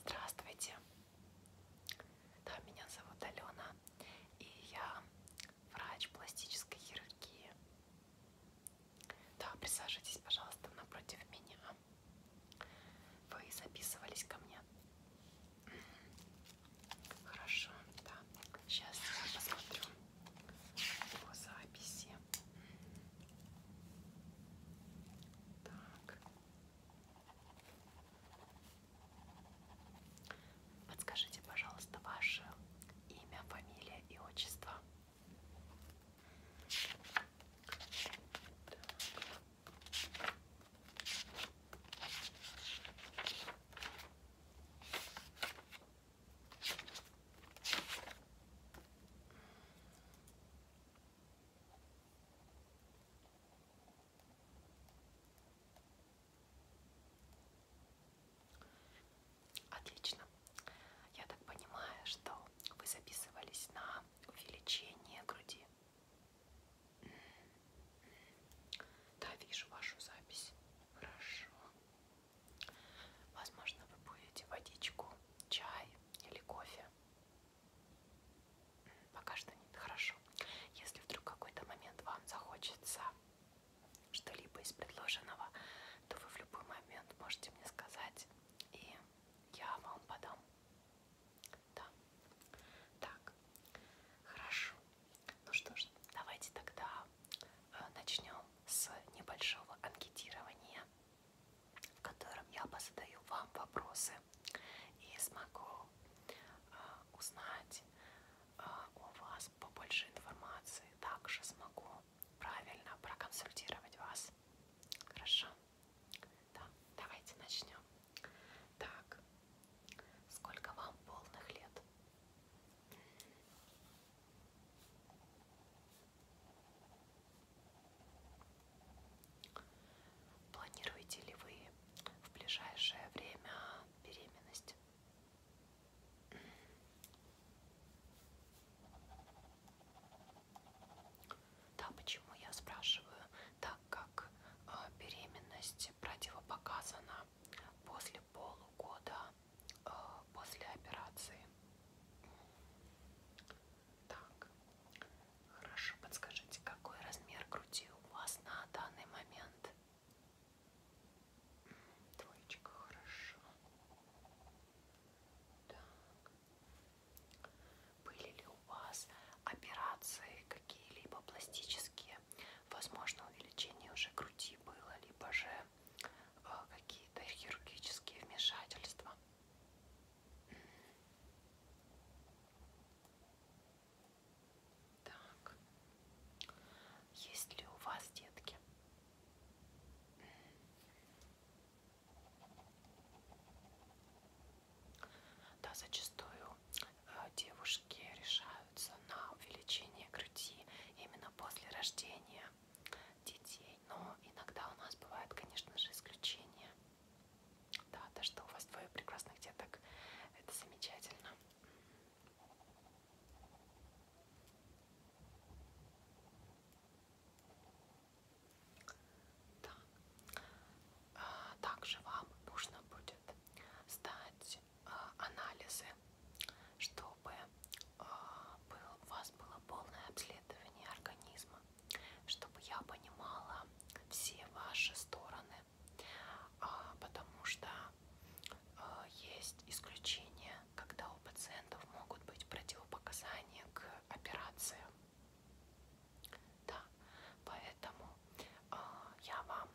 Здравствуйте! Да, меня зовут Алена, и я врач пластической хирургии. Да, присаживайтесь, пожалуйста, напротив меня. Вы записывались ко мне? Хорошо, да. Сейчас я посмотрю по записи. Так. Подскажите, пожалуйста, ваше имя, фамилия и отчество. Так. Отлично. Я так понимаю, что вы записывались на увеличение груди. Да, вижу вашу запись. Хорошо. Возможно, вы будете водичку, чай или кофе. Пока что нет, хорошо. Если вдруг какой-то момент вам захочется что-либо из предложенного, то вы в любой момент можете мне сказать, и я вам подам. Да. Так. Хорошо. Ну что ж, давайте тогда э, начнем с небольшого анкетирования в котором я позадаю вам вопросы и смогу э, узнать э, а, у вас побольше информации. Также смогу правильно проконсультировать вас. Хорошо? Да, давайте начнем. Так, сколько вам полных лет? Планируете ли вы в ближайшее время беременность? Да, почему я спрашиваю? Так как а, беременность противопоказана после полугода э, после операции. Так, хорошо, подскажите, какой размер груди у вас на данный момент? Двоечка, хорошо. Так. Были ли у вас операции какие-либо пластические? Возможно, увеличение уже груди было, либо же какие-то хирургические вмешательства. Так, есть ли у вас детки? Да, зачастую э, девушки решаются на увеличение груди именно после рождения детей. Но иногда у нас бывают, конечно же, исключения. Да, то, что у вас двое прекрасных деток, это замечательно. Да. А, также вам нужно будет сдать делать а, анализы, чтобы а, у вас было полное обследование организма, чтобы я понимала все ваши стороны, а, потому что есть исключения, когда у пациентов могут быть противопоказания к операциям. Да, поэтому я вам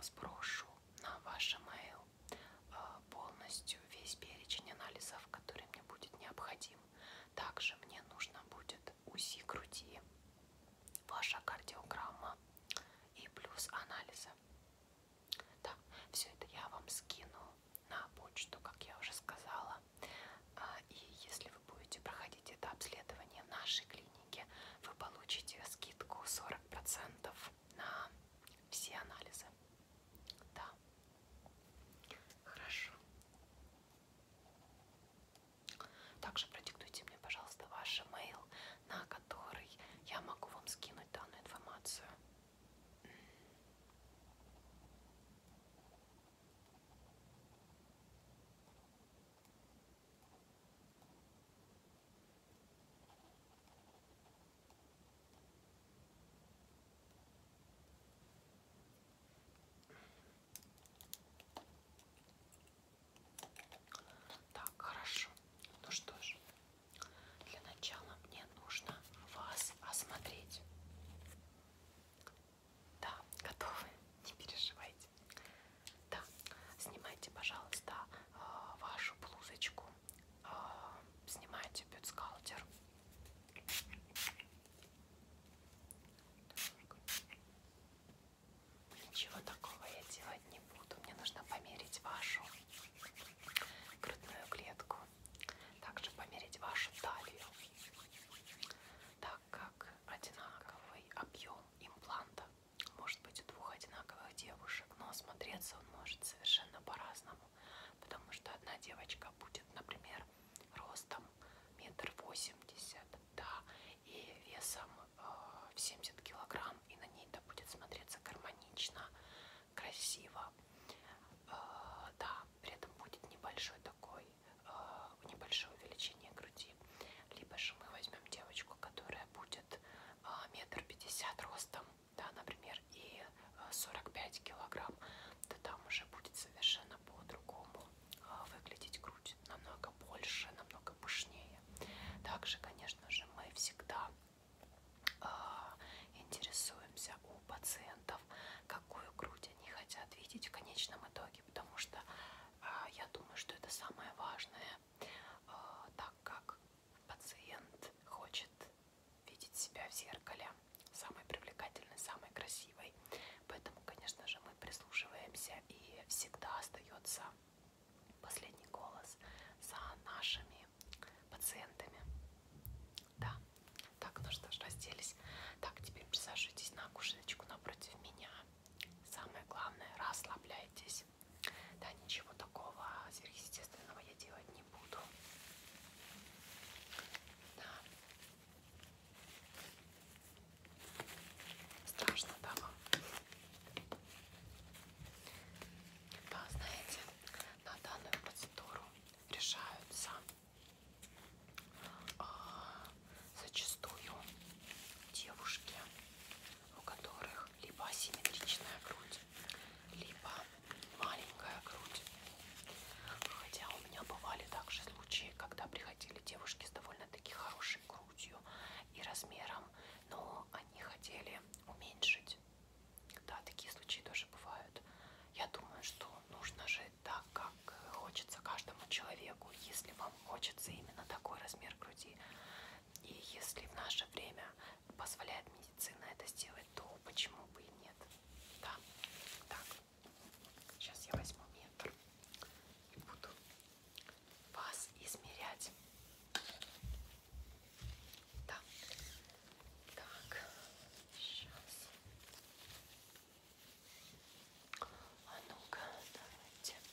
сброшу на ваше mail Э, полностью весь перечень анализов, который мне будет необходим. Также мне нужно будет УЗИ груди, ваша кардиограмма и плюс анализы. Да, все это я вам скину на почту, как я уже сказала. А, и если вы будете проходить это обследование в нашей клинике, вы получите скидку 40% на все анализы. Да. Хорошо. Также продиктуйте мне, пожалуйста, ваш email, на который я могу вам скинуть данную информацию. Так, хорошо. Ну что ж, для начала мне нужно вас осмотреть. Да, готовы? Не переживайте. Да, снимайте, пожалуйста, а, вашу блузочку э, снимаете бюстгальтер. Ничего такого я делать не буду. Мне нужно померить вашу грудную клетку. Также померить вашу талию. Так как одинаковый объем импланта может быть у двух одинаковых девушек, но смотреться он может совершенно по-разному, потому что одна девочка будет, например, ростом метр восемьдесят, да, и весом э, в э, 70 килограмм, и на ней это будет смотреться гармонично, красиво, э, да, при этом будет небольшой такой, э, небольшое увеличение груди, либо же мы возьмем девочку, которая будет а, метр пятьдесят ростом, да, например, и 45 а, килограмм, то там уже будет совершенно по-другому а, выглядеть грудь, намного больше, намного пышнее. Также, конечно же, мы всегда интересуемся у пациентов, какую грудь они хотят видеть в конечном итоге, потому что я думаю, что это самое важное а, так как пациент хочет видеть себя в зеркале самой привлекательной, самой красивой. Поэтому, конечно же, мы прислушиваемся и всегда остается последний голос за нашими пациентами. Да. Так, ну что ж, разделись. Так, теперь присаживайтесь на кушечку напротив меня. Самое главное, расслабляйтесь здесь. Да, ничего такого сверхъестественного я делать не буду. Да. Страшно, да, вам? Да, знаете, на данную процедуру решаются э, зачастую девушки, у которых либо асимметричная грудь, либо маленькая грудь. Хотя у меня бывали также случаи, когда приходили девушки с довольно-таки хорошей грудью и размером, но они хотели уменьшить. Да, такие случаи тоже бывают. Я думаю, что нужно жить так, как хочется каждому человеку. Если вам хочется именно такой размер груди, и если в наше время позволяет медицина это сделать, то почему бы и нет? Да. Так, сейчас я возьму метр и буду вас измерять. Да. Так, сейчас. А ну-ка, давайте.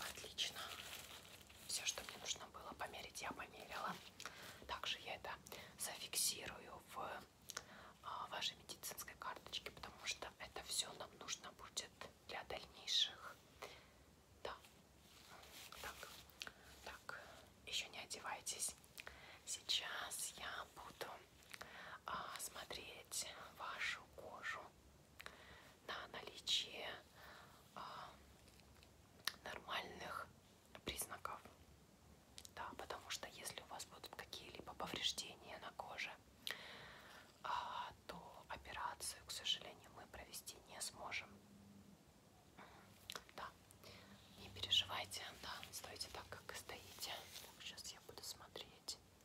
Отлично. Все, что мне нужно было померить, я померила. Также я это зафиксирую в а, вашей медицинской карточке, потому что это все нам нужно будет для дальнейших. Да. Так. Так. Еще не одевайтесь. Сейчас я буду а, смотреть вашу кожу на наличие а, нормальных признаков. Да, потому что если у вас будут какие-либо повреждения на коже, а, то операцию, к сожалению, мы провести не сможем. Да, не переживайте, да, стойте так, как и стоите. Так, сейчас я буду смотреть.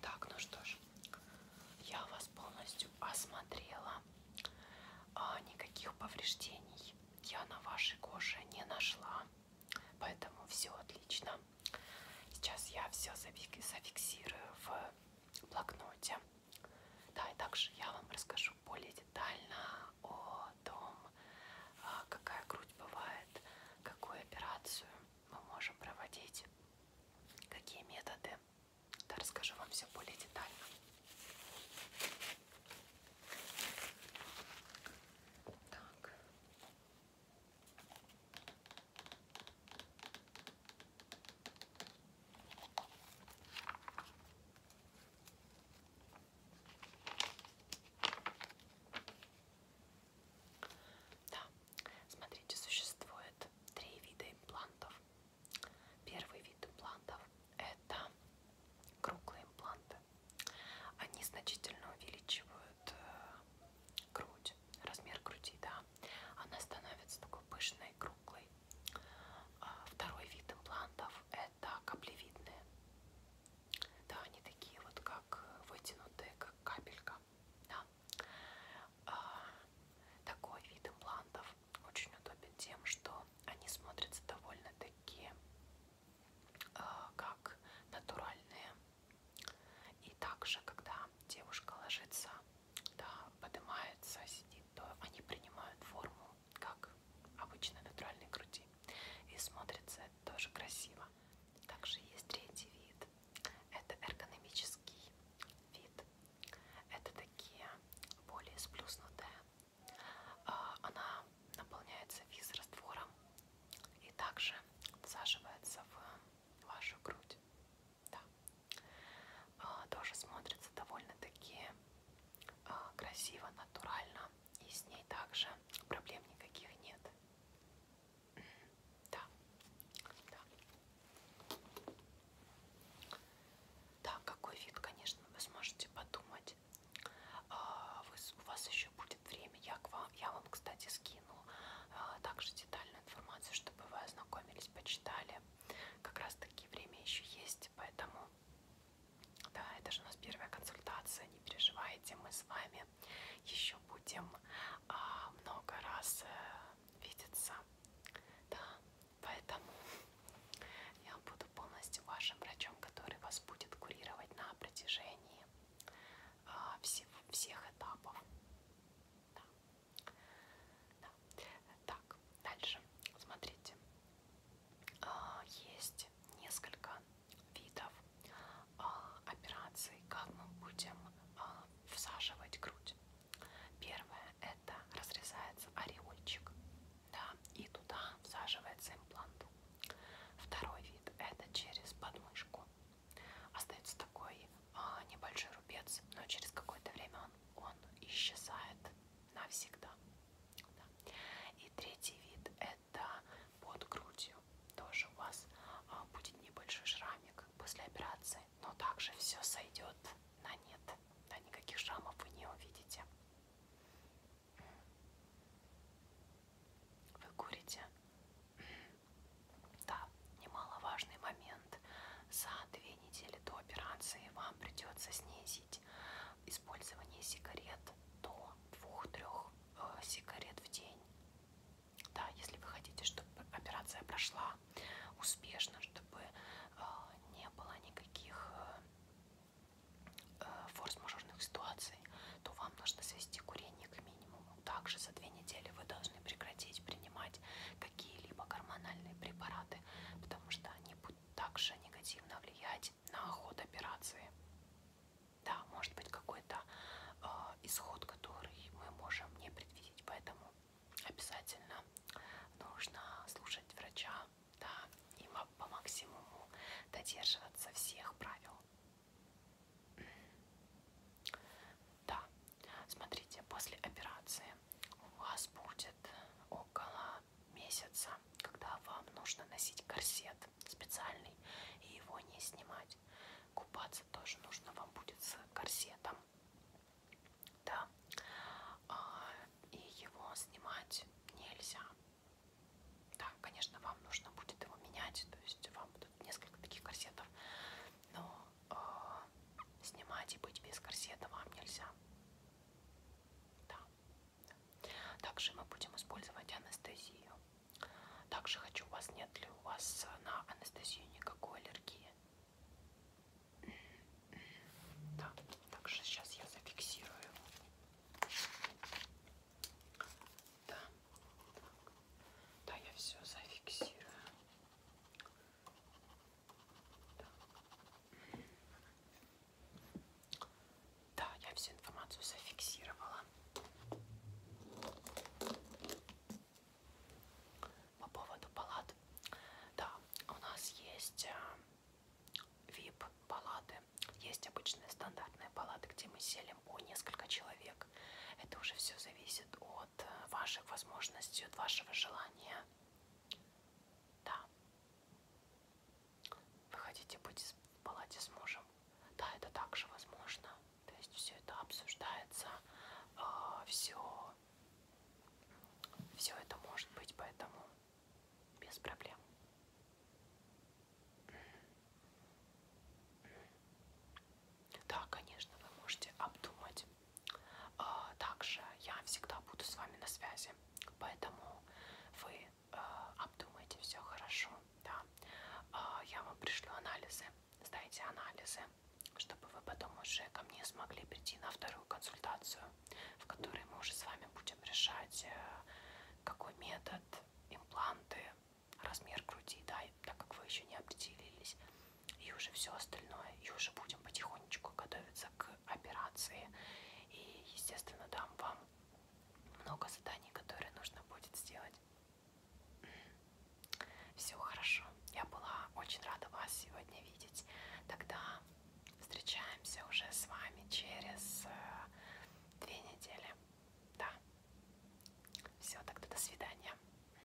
Так, ну что ж, я вас полностью осмотрела. А, никаких повреждений я на вашей коже не нашла. Поэтому все отлично. Сейчас я все зафиксирую в блокноте. Да, и также я вам расскажу расскажу более детально о том, а, какая грудь бывает, какую операцию мы можем проводить, какие методы. Да, расскажу вам все более детально. Так. Да, смотрите, существует три вида имплантов. Первый вид имплантов это круглые импланты. Они значительно увеличивают э, грудь, размер груди, да. Она становится такой пышной, круглой. А, второй вид имплантов это каплевидные. Да, они такие вот как вытянутые, как капелька. Да. А, такой вид имплантов очень удобен тем, что они смотрятся довольно-таки а, как натуральные. И также, когда девушка ложится, да, поднимается, сидит, то они принимают форму как обычно натуральной груди. И смотрится это тоже красиво. Также есть третий вид. Это эргономический вид. Это такие более сплюснутые. А, она наполняется виз-раствором и также засаживается в вашу грудь. Да. А, тоже смотрится довольно-таки а, красиво, натурально, и с ней также проблем никаких нет. Да. да. Да, какой вид, конечно, вы сможете подумать. А, вы, у вас еще будет время. Я, к вам, я вам, кстати, скину а, также детальную информацию, чтобы вы ознакомились, почитали. Как раз таки время еще есть, поэтому да, это же у нас первая консультация, не переживайте, мы с вами еще будем а, много раз э, видеться. Да, поэтому я буду полностью вашим врачом, который вас будет курировать на протяжении а, всех, всех этапов. Да. Да. Так, дальше. Смотрите, а, есть несколько видов а, операций, как мы будем а, всаживать грудь. Первое это разрезается ореольчик, да, и туда всаживается имплант. Второй вид это через подмышку. Остается такой небольшой рубец, но через какое-то время он, он исчезает навсегда. Да. И третий вид это под грудью. Тоже у вас а, будет небольшой шрамик после операции, но также все сойдет на нет. Да, никаких шрамов вы не увидите. Вы курите? Да, немаловажный момент. За 2 две недели до операции вам придется снизить использование сигарет до 2-3 э, сигарет в день. Да, если вы хотите, чтобы операция прошла успешно, чтобы э, не было никаких э, э, форс-мажорных ситуаций, то вам нужно свести курение к минимуму. Также за две недели вы должны прекратить принимать какие-либо гормональные препараты, потому что они будут также негативно влиять на ход операции. Да, может быть какой-то э, исход, который мы можем не предвидеть, поэтому обязательно нужно слушать врача, да, и по максимуму додерживаться всех правил. Да, смотрите, после операции у вас будет около месяца, когда вам нужно носить корсет специальный и его не снимать. Купаться тоже нужно вам будет с корсетом. Да. А, и его снимать нельзя. Да, конечно, вам нужно будет его менять, то есть вам будут несколько таких корсетов, но э, снимать и быть без корсета вам нельзя. Да. Также мы будем использовать анестезию. Также хочу у вас, нет ли у вас на анестезию никакой аллергии? Да, также сейчас я зафиксирую. Да, так. да я все зафиксирую. Да. да, я всю информацию зафиксировала. По поводу палат. Да, у нас есть э, VIP палаты. Есть обычные стандартные палаты, где мы селим по несколько человек. Это уже все зависит от э, ваших возможностей, от вашего желания, да. Вы хотите быть в палате с мужем? Да, это также возможно. То есть все это обсуждается, все, а, все это может быть, поэтому без проблем. Да, конечно, вы можете обдумать. А, также я всегда буду с вами на связи, поэтому вы а, обдумайте все хорошо. Да. А, я вам пришлю анализы, сдайте анализы, чтобы вы потом уже ко мне смогли прийти на вторую консультацию, в которой мы уже с вами будем решать, э, какой метод, импланты, размер груди, да, так как вы еще не определились и уже все остальное. И уже будем потихонечку готовиться к операции. И, естественно, дам вам много заданий, которые нужно будет сделать. Все хорошо. Я была очень рада вас сегодня видеть. Тогда встречаемся уже с вами через э, две недели. Да. Все, тогда до свидания.